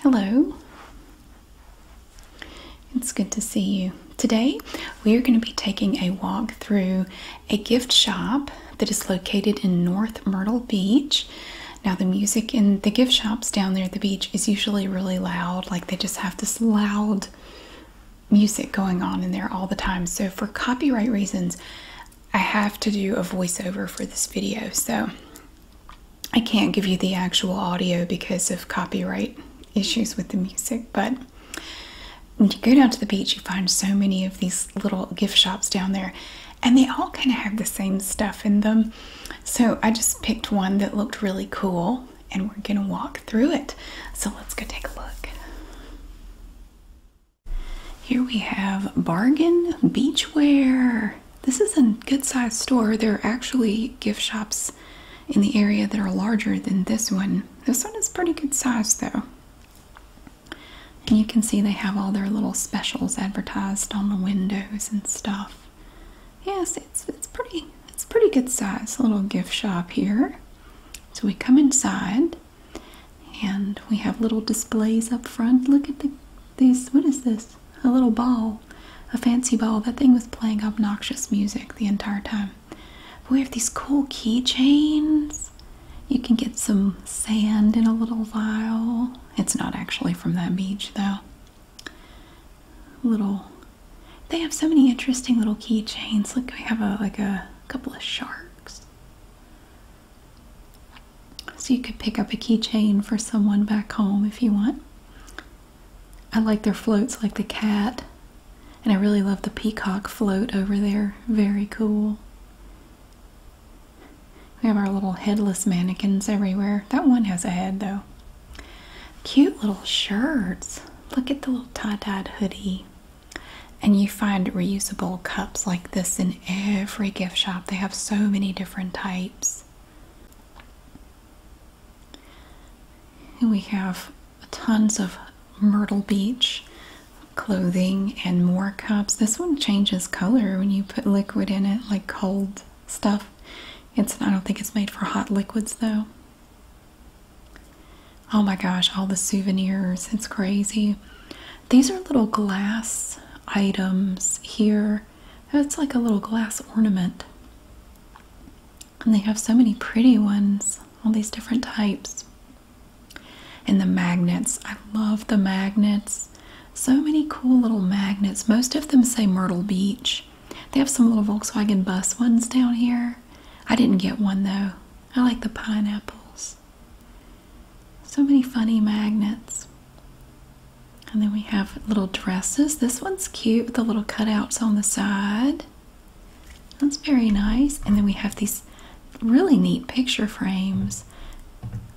Hello. It's good to see you. Today, we are going to be taking a walk through a gift shop that is located in North Myrtle Beach. Now, the music in the gift shops down there at the beach is usually really loud, like they just have this loud music going on in there all the time. So, for copyright reasons, I have to do a voiceover for this video. So, I can't give you the actual audio because of copyright issues with the music, but when you go down to the beach, you find so many of these little gift shops down there, and they all kind of have the same stuff in them. So I just picked one that looked really cool, and we're gonna walk through it. So let's go take a look. Here we have Bargain Beachwear. This is a good sized store. There are actually gift shops in the area that are larger than this one. This one is pretty good size though. And you can see they have all their little specials advertised on the windows and stuff. Yes, it's it's pretty it's pretty good size little gift shop here. So we come inside and we have little displays up front. Look at these what is this? a little ball, a fancy ball. That thing was playing obnoxious music the entire time. But we have these cool keychains. You can get some sand in a little vial. It's not actually from that beach though. Little they have so many interesting little keychains. Look, we have a like a couple of sharks. So you could pick up a keychain for someone back home if you want. I like their floats like the cat. And I really love the peacock float over there. Very cool. We have our little headless mannequins everywhere. That one has a head though. Cute little shirts. Look at the little tie-dyed hoodie. And you find reusable cups like this in every gift shop. They have so many different types. We have tons of Myrtle Beach clothing and more cups. This one changes color when you put liquid in it, like cold stuff. It's I don't think it's made for hot liquids though. Oh my gosh, all the souvenirs. It's crazy. These are little glass items here Oh, it's like a little glass ornament. And they have so many pretty ones, all these different types. And the magnets. I love the magnets. So many cool little magnets. Most of them say Myrtle Beach. They have some little Volkswagen bus ones down here. I didn't get one though. I like the pineapples. So many funny magnets. And then we have little dresses. This one's cute with the little cutouts on the side. That's very nice. And then we have these really neat picture frames.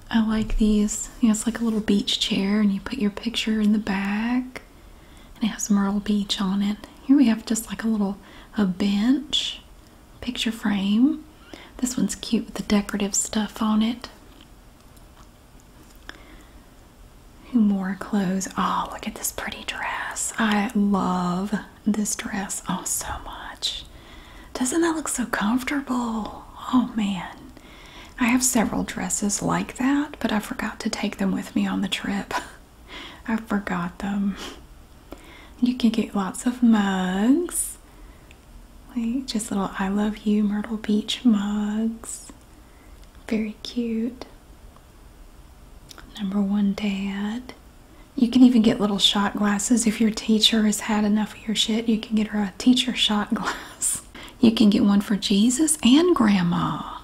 I like these. it's like a little beach chair and you put your picture in the back. And it has Myrtle Beach on it. Here we have just like a little a bench picture frame. This one's cute with the decorative stuff on it. More clothes? Oh, look at this pretty dress. I love this dress oh so much. Doesn't that look so comfortable? Oh man. I have several dresses like that, but I forgot to take them with me on the trip. I forgot them. You can get lots of mugs. Like just little I love you Myrtle Beach mugs. Very cute. Number one dad. You can even get little shot glasses. If your teacher has had enough of your shit, you can get her a teacher shot glass. You can get one for Jesus and Grandma.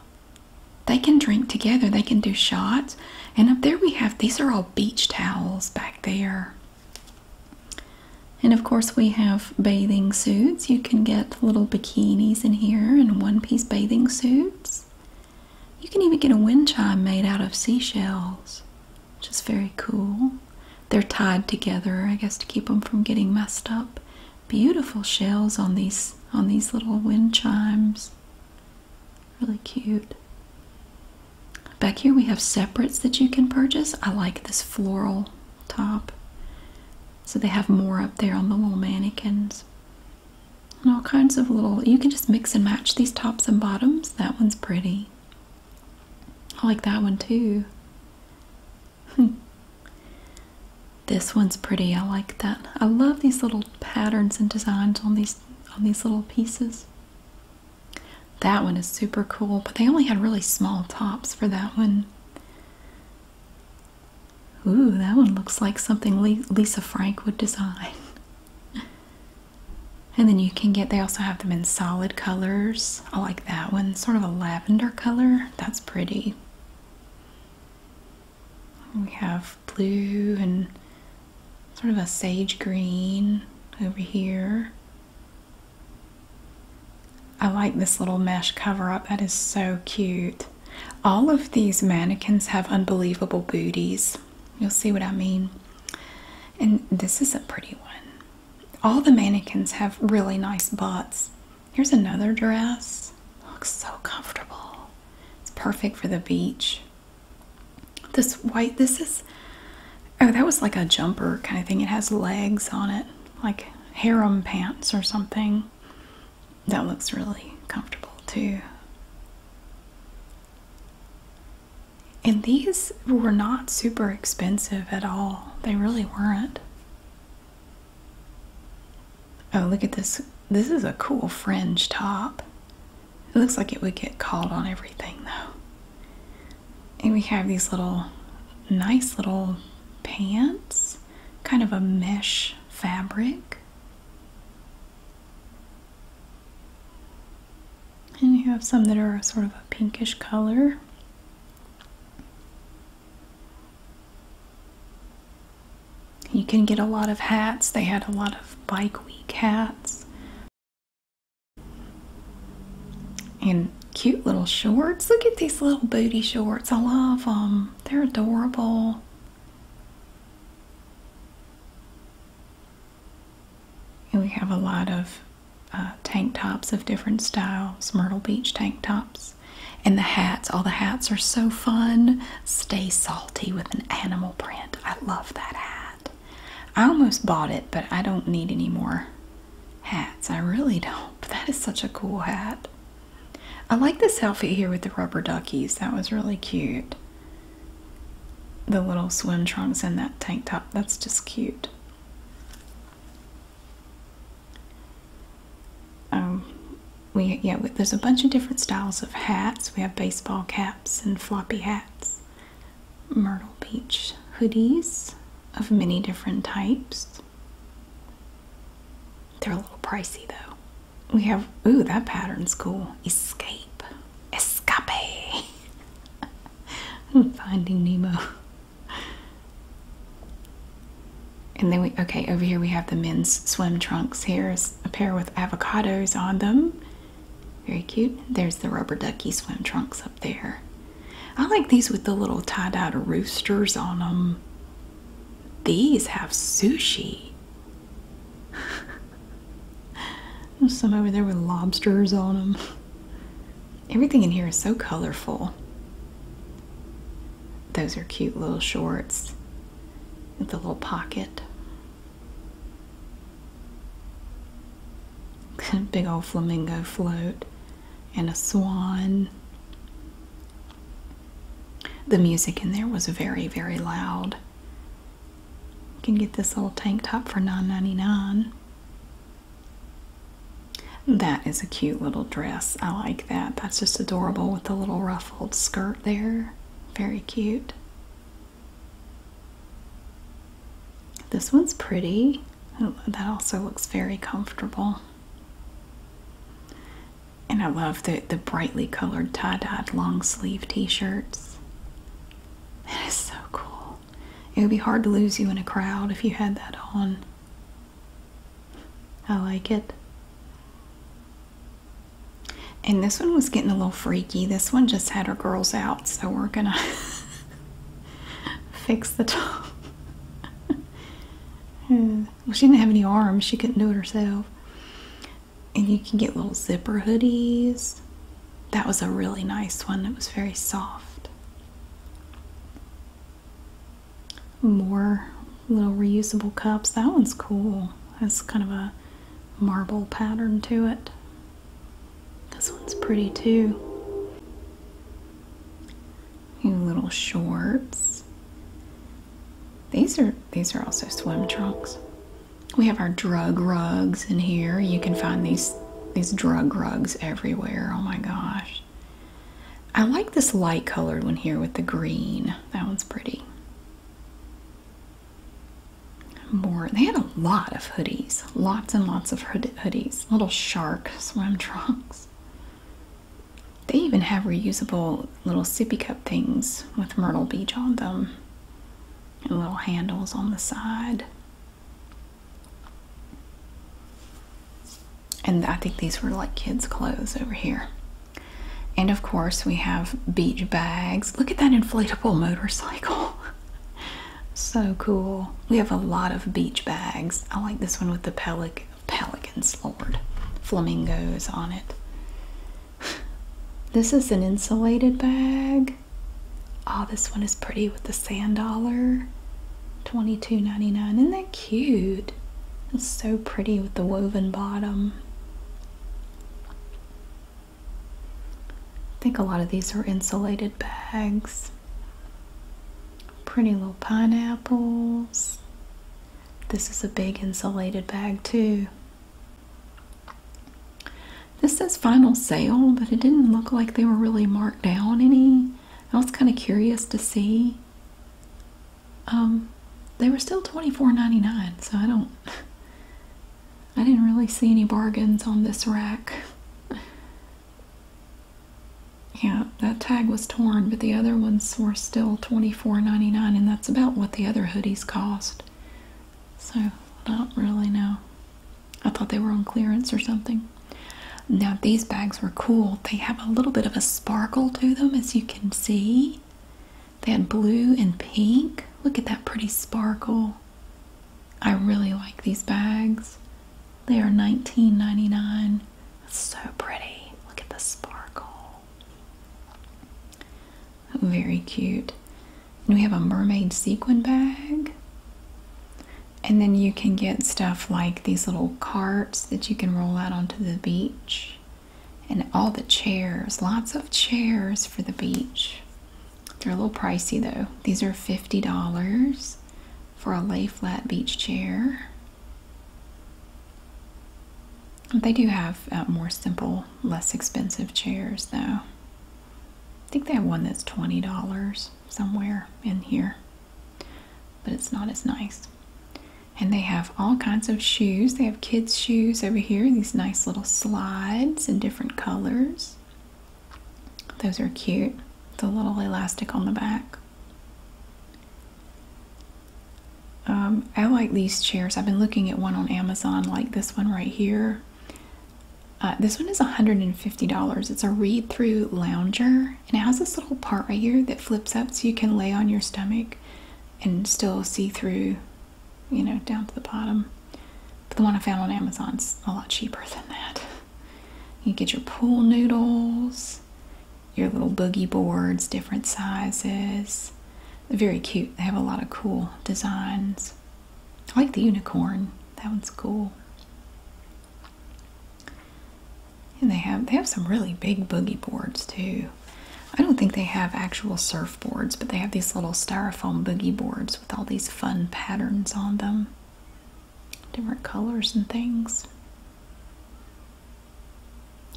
They can drink together, they can do shots. And up there we have these are all beach towels back there. And of course, we have bathing suits. You can get little bikinis in here and one piece bathing suits. You can even get a wind chime made out of seashells, which is very cool. They're tied together, I guess, to keep them from getting messed up. Beautiful shells on these on these little wind chimes. Really cute. Back here we have separates that you can purchase. I like this floral top. So they have more up there on the little mannequins. And all kinds of little, you can just mix and match these tops and bottoms. That one's pretty. I like that one too. this one's pretty. I like that. I love these little patterns and designs on these on these little pieces. That one is super cool, but they only had really small tops for that one. Ooh, that one looks like something Lisa Frank would design. and then you can get, they also have them in solid colors. I like that one, sort of a lavender color. That's pretty. We have blue and sort of a sage green over here. I like this little mesh cover up. That is so cute. All of these mannequins have unbelievable booties. You'll see what I mean. And this is a pretty one. All the mannequins have really nice butts. Here's another dress. Looks so comfortable. It's perfect for the beach. This white, this is, oh, that was like a jumper kind of thing. It has legs on it like harem pants or something. That looks really comfortable too. And these were not super expensive at all. They really weren't. Oh, look at this. This is a cool fringe top. It looks like it would get caught on everything though. And we have these little, nice little pants kind of a mesh fabric. And you have some that are sort of a pinkish color. You can get a lot of hats. They had a lot of bike week hats. And cute little shorts. Look at these little booty shorts. I love them. They're adorable. And we have a lot of uh, tank tops of different styles, Myrtle Beach tank tops. And the hats, all the hats are so fun. Stay salty with an animal print. I love that hat. I almost bought it, but I don't need any more hats. I really don't. But that is such a cool hat. I like this outfit here with the rubber duckies. That was really cute. The little swim trunks and that tank top. That's just cute. Um, we yeah, there's a bunch of different styles of hats. We have baseball caps and floppy hats, myrtle beach hoodies of many different types. They're a little pricey though. We have ooh that pattern's cool. Escape. Escape. I'm finding Nemo. And then we okay, over here we have the men's swim trunks. Here's a pair with avocados on them. Very cute. There's the rubber ducky swim trunks up there. I like these with the little tie-dyed roosters on them. These have sushi. There's some over there with lobsters on them. Everything in here is so colorful. Those are cute little shorts with a little pocket. Big old flamingo float and a swan the music in there was very, very loud. You can get this little tank top for nine ninety is a cute little dress. I like that. That's just adorable with the little ruffled skirt there. Very cute. This one's pretty. That also looks very comfortable. And I love the, the brightly colored tie-dyed long sleeve t-shirts. That is so cool. It would be hard to lose you in a crowd if you had that on. I like it. And this one was getting a little freaky. This one just had her girls out, so we're gonna fix the top. oh, she didn't have any arms, she couldn't do it herself. And you can get little zipper hoodies. That was a really nice one, it was very soft. More little reusable cups. That one's cool. That's kind of a marble pattern to it. This one's pretty too little shorts. These are these are also swim trunks. We have our drug rugs in here. You can find these these drug rugs everywhere. Oh my gosh. I like this light colored one here with the green. That one's pretty. More. They had a lot of hoodies. Lots and lots of hood hoodies. Little shark swim trunks. They even have reusable little sippy cup things with Myrtle Beach on them and little handles on the side. And I think these were like kids' clothes over here. And of course, we have beach bags. Look at that inflatable motorcycle. so cool. We have a lot of beach bags. I like this one with the pelican. Pelicans, Lord. Flamingos on it. This is an insulated bag. Oh, this one is pretty with the sand dollar. Twenty Isn't that cute? It's so pretty with the woven bottom. I think a lot of these are insulated bags. Pretty little pineapples. This is a big insulated bag too. This says final sale, but it didn't look like they were really marked down any. I was kind of curious to see. Um, they were still $24.99, so I don't, I didn't really see any bargains on this rack. Yeah, that tag was torn, but the other ones were still $24.99, and that's about what the other hoodies cost. So, not really, no. I thought they were on clearance or something. Now, these bags were cool. They have a little bit of a sparkle to them, as you can see. They had blue and pink. Look at that pretty sparkle. I really like these bags. They are $19.99. So pretty. Look at the sparkle. Oh, very cute. we have a mermaid sequin bag. And then you can get stuff like these little carts that you can roll out onto the beach. And all the chairs, lots of chairs for the beach. They're a little pricey though. These are $50 for a lay flat beach chair. They do have uh, more simple, less expensive chairs, though. I think they have one that's $20 somewhere in here, but it's not as nice. And they have all kinds of shoes. They have kids' shoes over here, these nice little slides in different colors. Those are cute. The little elastic on the back. Um, I like these chairs. I've been looking at one on Amazon, like this one right here. Uh, this one is $150. It's a read through lounger, and it has this little part right here that flips up so you can lay on your stomach and still see through, you know, down to the bottom. But the one I found on Amazon's a lot cheaper than that. You get your pool noodles your little boogie boards, different sizes. They're very cute. They have a lot of cool designs. I like the unicorn. That one's cool. And they have they have some really big boogie boards too. I don't think they have actual surfboards, but they have these little styrofoam boogie boards with all these fun patterns on them. Different colors and things.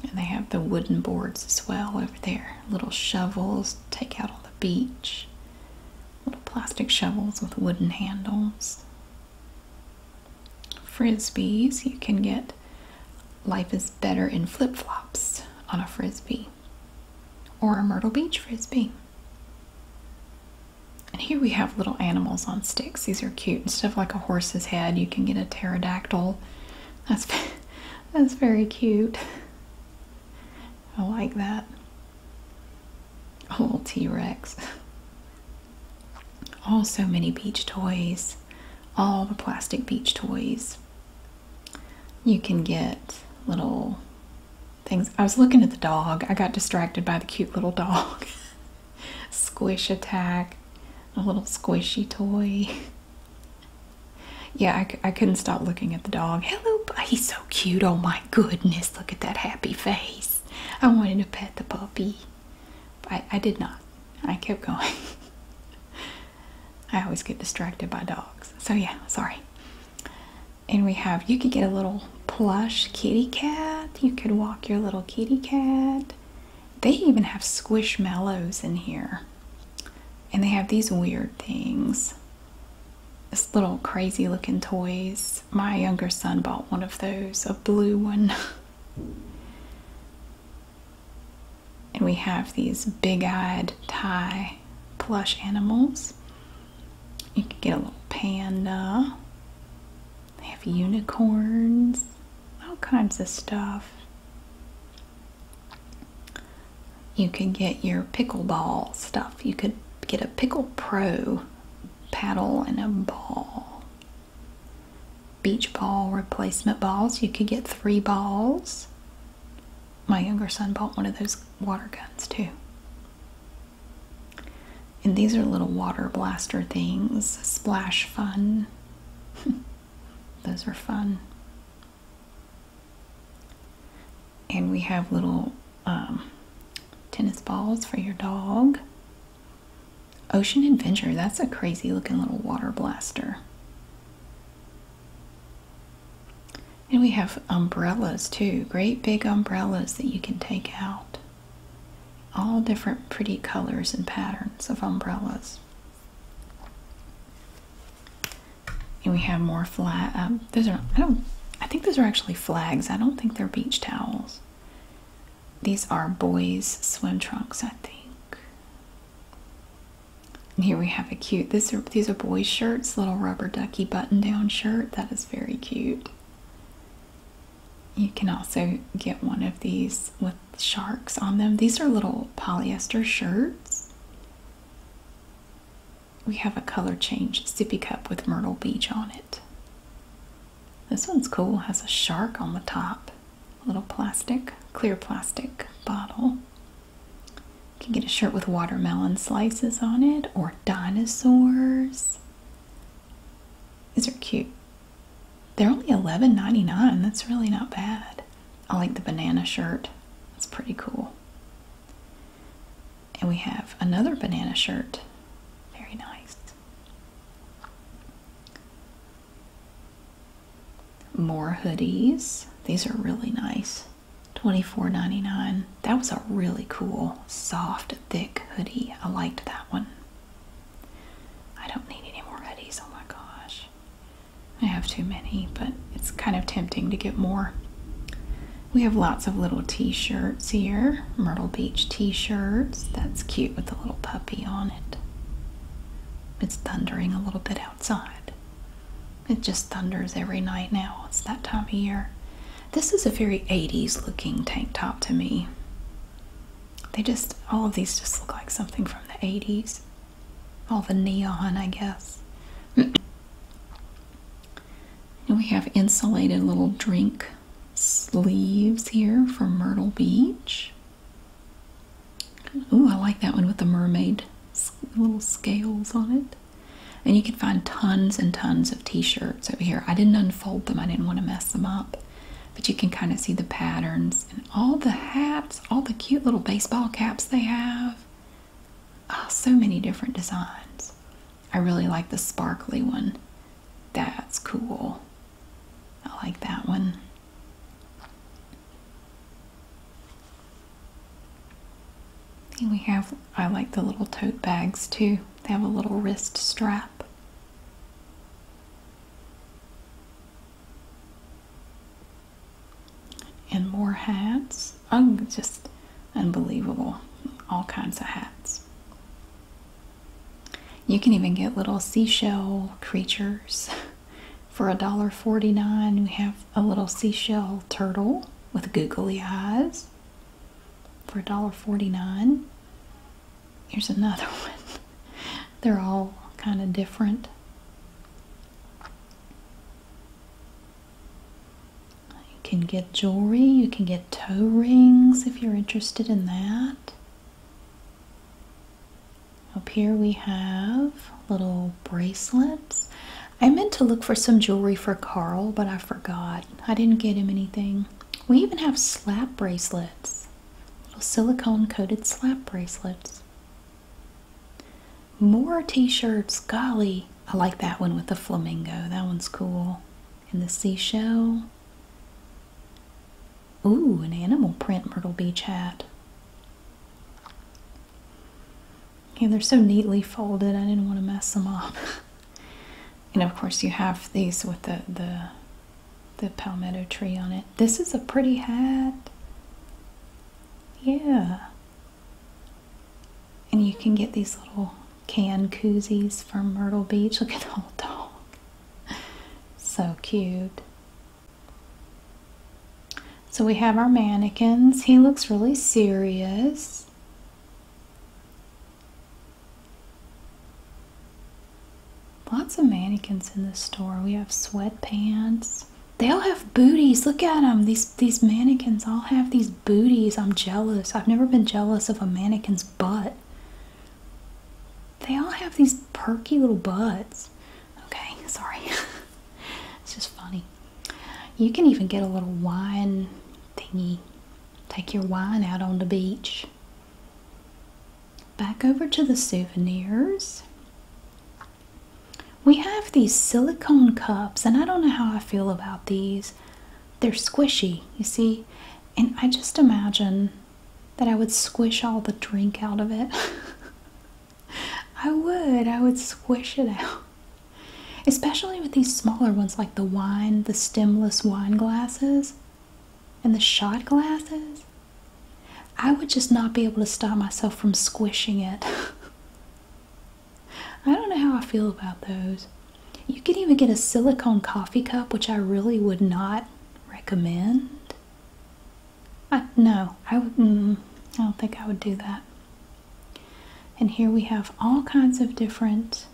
And they have the wooden boards as well over there. Little shovels to take out on the beach. Little plastic shovels with wooden handles. Frisbees. You can get life is better in flip flops on a frisbee or a Myrtle Beach frisbee. And here we have little animals on sticks. These are cute. Instead of like a horse's head, you can get a pterodactyl that's that's very cute. I like that. little T Rex. Oh, so many beach toys. All the plastic beach toys. You can get little things. I was looking at the dog. I got distracted by the cute little dog. Squish attack. A little squishy toy. Yeah, I, couldn't stop looking at the dog. Hello, he's so cute. Oh my goodness, look at that happy face. I wanted to pet the puppy. but I did not. I kept going. I always get distracted by dogs. So yeah, sorry. And we have, you could get a little plush kitty cat. You could walk your little kitty cat. They even have squishmallows in here. And they have these weird things. This little crazy looking toys. My younger son bought one of those, a blue one. and we have these big eyed Thai plush animals. You can get a little panda. They have unicorns, all kinds of stuff. You could get your pickleball stuff. You could get a Pickle Pro paddle and a ball. Beach ball replacement balls. You could get three balls. My younger son bought one of those water guns too. And these are little water blaster things. Splash fun. Those are fun. And we have little um, tennis balls for your dog. Ocean Adventure, that's a crazy looking little water blaster. And we have umbrellas too, great big umbrellas that you can take out. All different pretty colors and patterns of umbrellas. And we have more flag. Um, those are I don't. I think those are actually flags. I don't think they're beach towels. These are boys' swim trunks, I think. here we have a cute. This are these are boys' shirts. Little rubber ducky button-down shirt. That is very cute. You can also get one of these with sharks on them. These are little polyester shirts. We have a color change sippy cup with Myrtle Beach on it. This one's cool, has a shark on the top. A little plastic, clear plastic bottle. You can get a shirt with watermelon slices on it or dinosaurs. These are cute. They're only $11.99. That's really not bad. I like the banana shirt. It's pretty cool. And we have another banana shirt. Very nice. More hoodies. These are really nice. Twenty four ninety nine. That was a really cool, soft, thick hoodie. I liked that one. I don't need any more hoodies. Oh my gosh. I have too many, but it's kind of tempting to get more. We have lots of little t shirts here Myrtle Beach t shirts. That's cute with the little puppy on it. It's thundering a little bit outside. It just thunders every night now. It's that time of year. This is a very 80s looking tank top to me. They just, all of these just look like something from the 80s all the neon, I guess. we have insulated little drink sleeves here from Myrtle Beach. Ooh, I like that one with the mermaid little scales on it. And you can find tons and tons of t-shirts over here. I didn't unfold them. I didn't want to mess them up. But you can kind of see the patterns and all the hats all the cute little baseball caps they have. Oh, so many different designs. I really like the sparkly one. That's cool. I like that one. we have, I like the little tote bags too. They have a little wrist strap and more hats. Oh, just unbelievable. All kinds of hats. You can even get little seashell creatures. For $1.49, we have a little seashell turtle with googly eyes. For $1.49, here's another one. They're all kind of different. You can get jewelry, you can get toe rings if you're interested in that. Up here we have little bracelets. I meant to look for some jewelry for Carl, but I forgot. I didn't get him anything. We even have slap bracelets, little silicone coated slap bracelets. More t-shirts. Golly. I like that one with the flamingo. That one's cool. And the seashell. Ooh, an animal print Myrtle Beach hat. And they're so neatly folded. I didn't want to mess them up. and of course you have these with the, the, the palmetto tree on it. This is a pretty hat. Yeah. And you can get these little canned koozies from Myrtle Beach. Look at the old dog. So cute. So we have our mannequins. He looks really serious. Lots of mannequins in the store. We have sweatpants. They all have booties. Look at them. These these mannequins all have these booties. I'm jealous. I've never been jealous of a mannequin's butt. They all have these perky little butts. Okay, sorry. it's just funny. You can even get a little wine thingy. Take your wine out on the beach. Back over to the souvenirs. We have these silicone cups, and I don't know how I feel about these. They're squishy, you see, and I just imagine that I would squish all the drink out of it. I would, I would squish it out. Especially with these smaller ones like the wine, the stemless wine glasses, and the shot glasses. I would just not be able to stop myself from squishing it. I don't know how I feel about those. You could even get a silicone coffee cup, which I really would not recommend. I, no, I, would, I don't think I would do that. And here we have all kinds of different,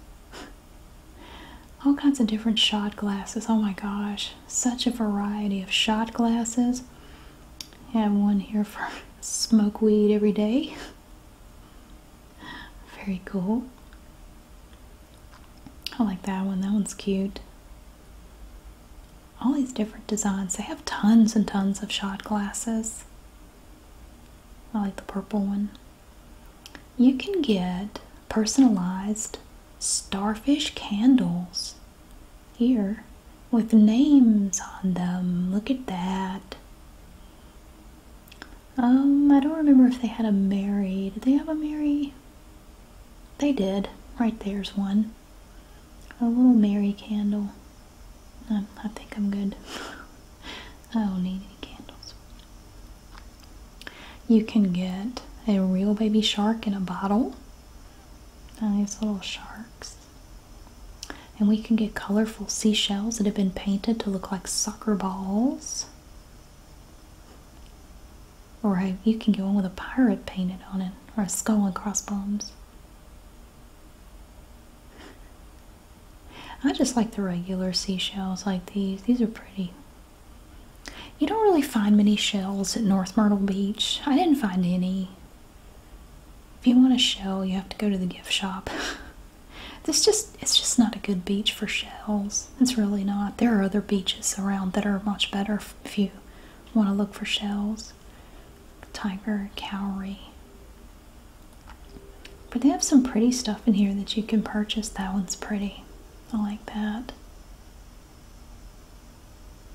all kinds of different shot glasses. Oh my gosh, such a variety of shot glasses. I have one here for smoke weed every day. Very cool. I like that one. That one's cute. All these different designs. They have tons and tons of shot glasses. I like the purple one. You can get personalized starfish candles here with names on them. Look at that. Um, I don't remember if they had a Mary. Did they have a Mary? They did. Right there's one. A little Mary candle. I think I'm good. I don't need any candles. You can get a real baby shark in a bottle. Now these little sharks. And we can get colorful seashells that have been painted to look like soccer balls. Or you can go one with a pirate painted on it, or a skull and crossbones. I just like the regular seashells like these. These are pretty. You don't really find many shells at North Myrtle Beach. I didn't find any. If you want a shell, you have to go to the gift shop. this just it's just not a good beach for shells. It's really not. There are other beaches around that are much better if you want to look for shells. Tiger, cowrie. But they have some pretty stuff in here that you can purchase. That one's pretty. I like that.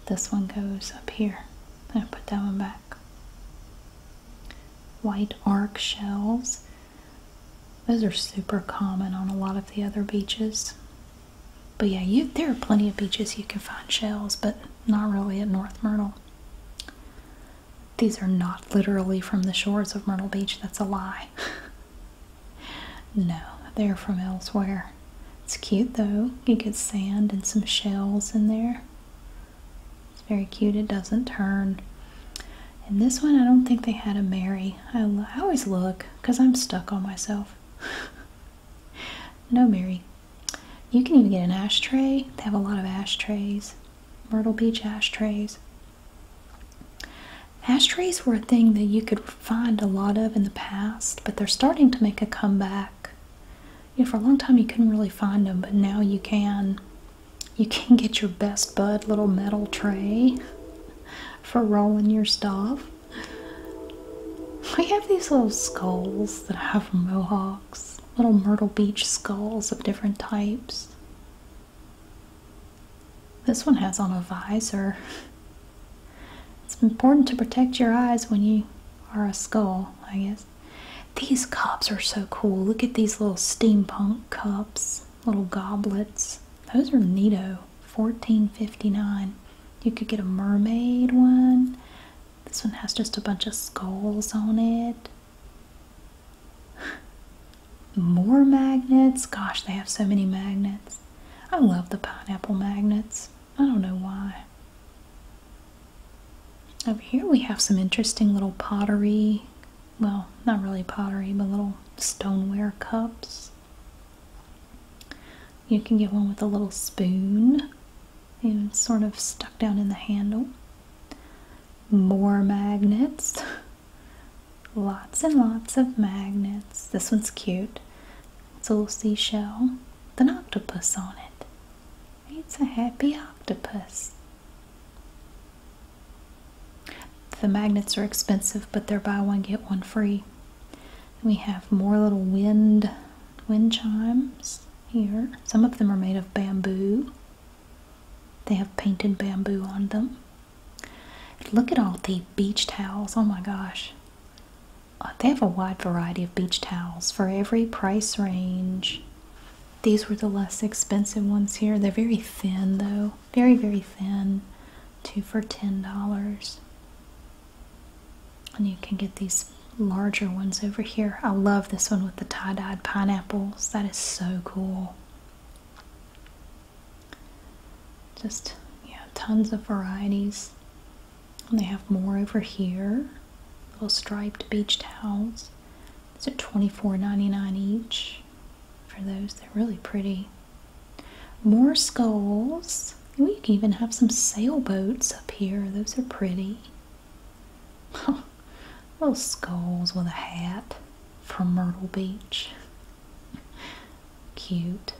This one goes up here. I put that one back. White arc shells. Those are super common on a lot of the other beaches. But yeah, there are plenty of beaches you can find shells, but not really at North Myrtle. These are not literally from the shores of Myrtle Beach. That's a lie. no, they're from elsewhere. It's cute though. You get sand and some shells in there. It's very cute. It doesn't turn. And this one, I don't think they had a Mary. I, always look because I'm stuck on myself. no Mary. You can even get an ashtray. They have a lot of ashtrays. Myrtle Beach ashtrays. Ashtrays were a thing that you could find a lot of in the past, but they're starting to make a comeback you know, for a long time you couldn't really find them, but now you can. You can get your best bud little metal tray for rolling your stuff. We have these little skulls that have Mohawks, little Myrtle Beach skulls of different types. This one has on a visor. It's important to protect your eyes when you are a skull, I guess. These cups are so cool. Look at these little steampunk cups, little goblets. Those are neato. Fourteen fifty nine. You could get a mermaid one. This one has just a bunch of skulls on it. More magnets. Gosh, they have so many magnets. I love the pineapple magnets. I don't know why. Over here we have some interesting little pottery, well, not really pottery, but little stoneware cups. You can get one with a little spoon and sort of stuck down in the handle. More magnets. lots and lots of magnets. This one's cute. It's a little seashell with an octopus on it. It's a happy octopus. The magnets are expensive, but they're buy one, get one free. We have more little wind, wind chimes here. Some of them are made of bamboo. They have painted bamboo on them. Look at all the beach towels. Oh my gosh. Uh, they have a wide variety of beach towels for every price range these were the less expensive ones here. They're very thin though. Very, very thin. Two for $10. And you can get these larger ones over here. I love this one with the tie-dyed pineapples. That is so cool. Just, yeah, tons of varieties. And they have more over here little striped beach towels. These are $24.99 each for those. They're really pretty. More skulls. We can even have some sailboats up here. Those are pretty. little skulls with a hat from Myrtle Beach. Cute.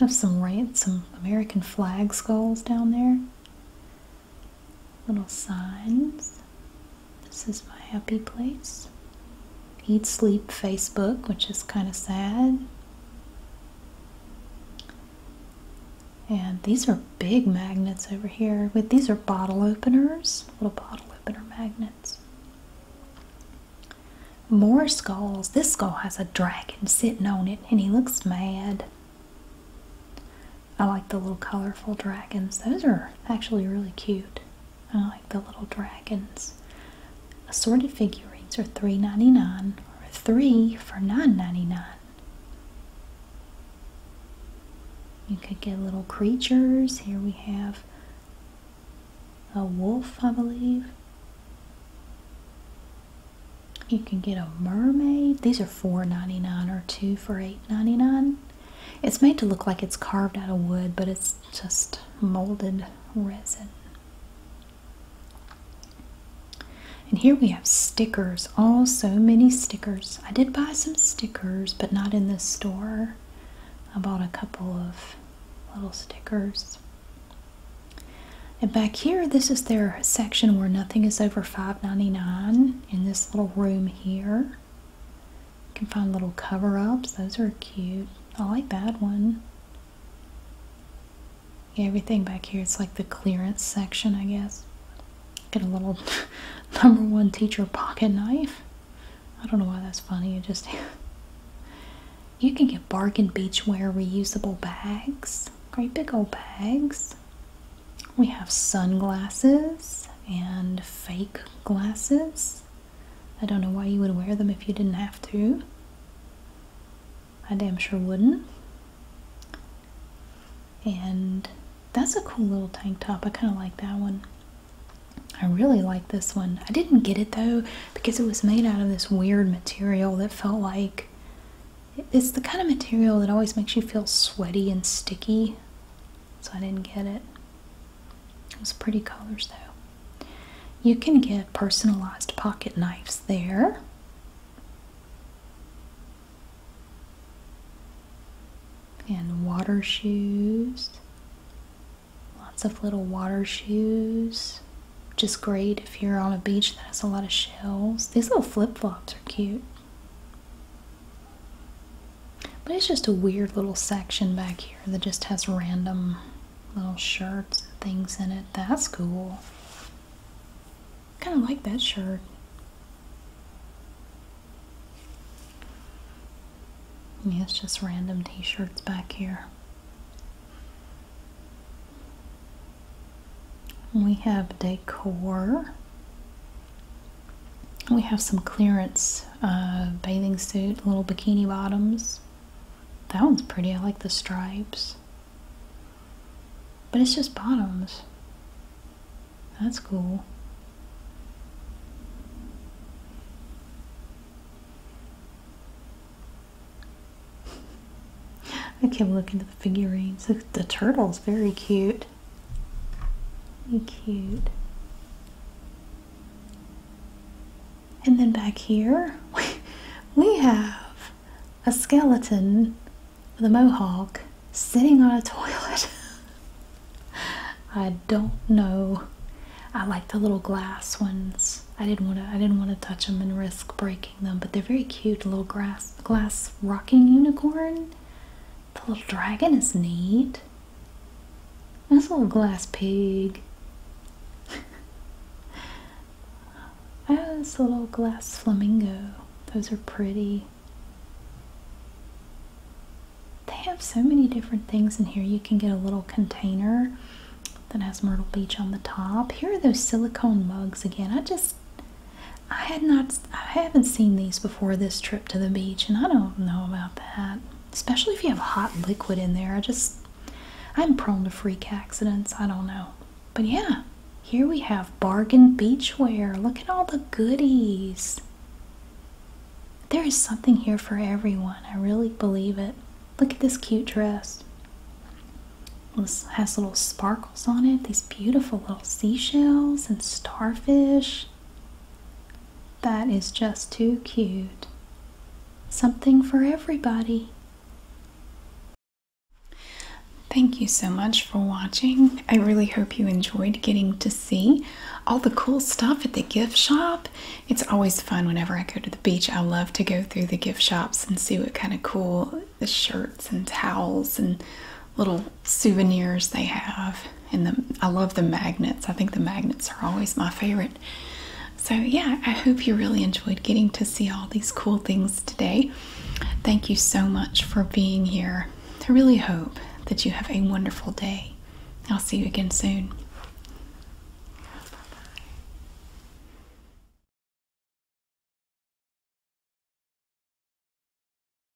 Have some ransom American flag skulls down there little signs. This is my happy place. Eat Sleep Facebook, which is kind of sad. And these are big magnets over here. With these are bottle openers, little bottle opener magnets. More skulls. This skull has a dragon sitting on it, and he looks mad. I like the little colorful dragons. Those are actually really cute. I like the little dragons. Assorted figurines are $3.99 or 3 for 9 dollars You could get little creatures. Here we have a wolf, I believe. You can get a mermaid. These are $4.99 or 2 for 99 It's made to look like it's carved out of wood, but it's just molded resin. And here we have stickers. Oh, so many stickers. I did buy some stickers, but not in this store. I bought a couple of little stickers. And back here, this is their section where nothing is over five ninety-nine. In this little room here. You can find little cover-ups. Those are cute. I like that one. everything back here, it's like the clearance section, I guess. Get a little number one teacher pocket knife. I don't know why that's funny. It just... you can get bargain beachwear reusable bags. Great big old bags. We have sunglasses and fake glasses. I don't know why you would wear them if you didn't have to. I damn sure wouldn't. And that's a cool little tank top. I kind of like that one. I really like this one. I didn't get it though because it was made out of this weird material that felt like it's the kind of material that always makes you feel sweaty and sticky, so I didn't get it. It was pretty colors though. You can get personalized pocket knives there. And water shoes. Lots of little water shoes. just great if you're on a beach that has a lot of shells. These little flip flops are cute. But it's just a weird little section back here that just has random little shirts and things in it. That's cool. Kind of like that shirt. Yeah, it's just random t-shirts back here. We have decor. We have some clearance uh, bathing suit, little bikini bottoms. That one's pretty. I like the stripes. But it's just bottoms. That's cool. I kept looking at the figurines. the turtle's very cute cute. And then back here, we have a skeleton with a mohawk sitting on a toilet. I don't know. I like the little glass ones. I didn't want to. I didn't want to touch them and risk breaking them. But they're very cute little grass glass rocking unicorn. The little dragon is neat. This little glass pig. oh, this little glass flamingo. Those are pretty. They have so many different things in here. You can get a little container that has Myrtle Beach on the top. Here are those silicone mugs again. I just I had not I haven't seen these before this trip to the beach and I don't know about that. Especially if you have hot liquid in there. I just I'm prone to freak accidents. I don't know. But yeah, here we have bargain beachwear. Look at all the goodies. There is something here for everyone. I really believe it. Look at this cute dress. has little sparkles on it. These beautiful little seashells and starfish. That is just too cute. Something for everybody. Thank you so much for watching. I really hope you enjoyed getting to see all the cool stuff at the gift shop. It's always fun whenever I go to the beach. I love to go through the gift shops and see what kind of cool the shirts and towels and little souvenirs they have. And the, I love the magnets. I think the magnets are always my favorite. So, yeah, I hope you really enjoyed getting to see all these cool things today. Thank you so much for being here. I really hope that you have a wonderful day. I'll see you again soon.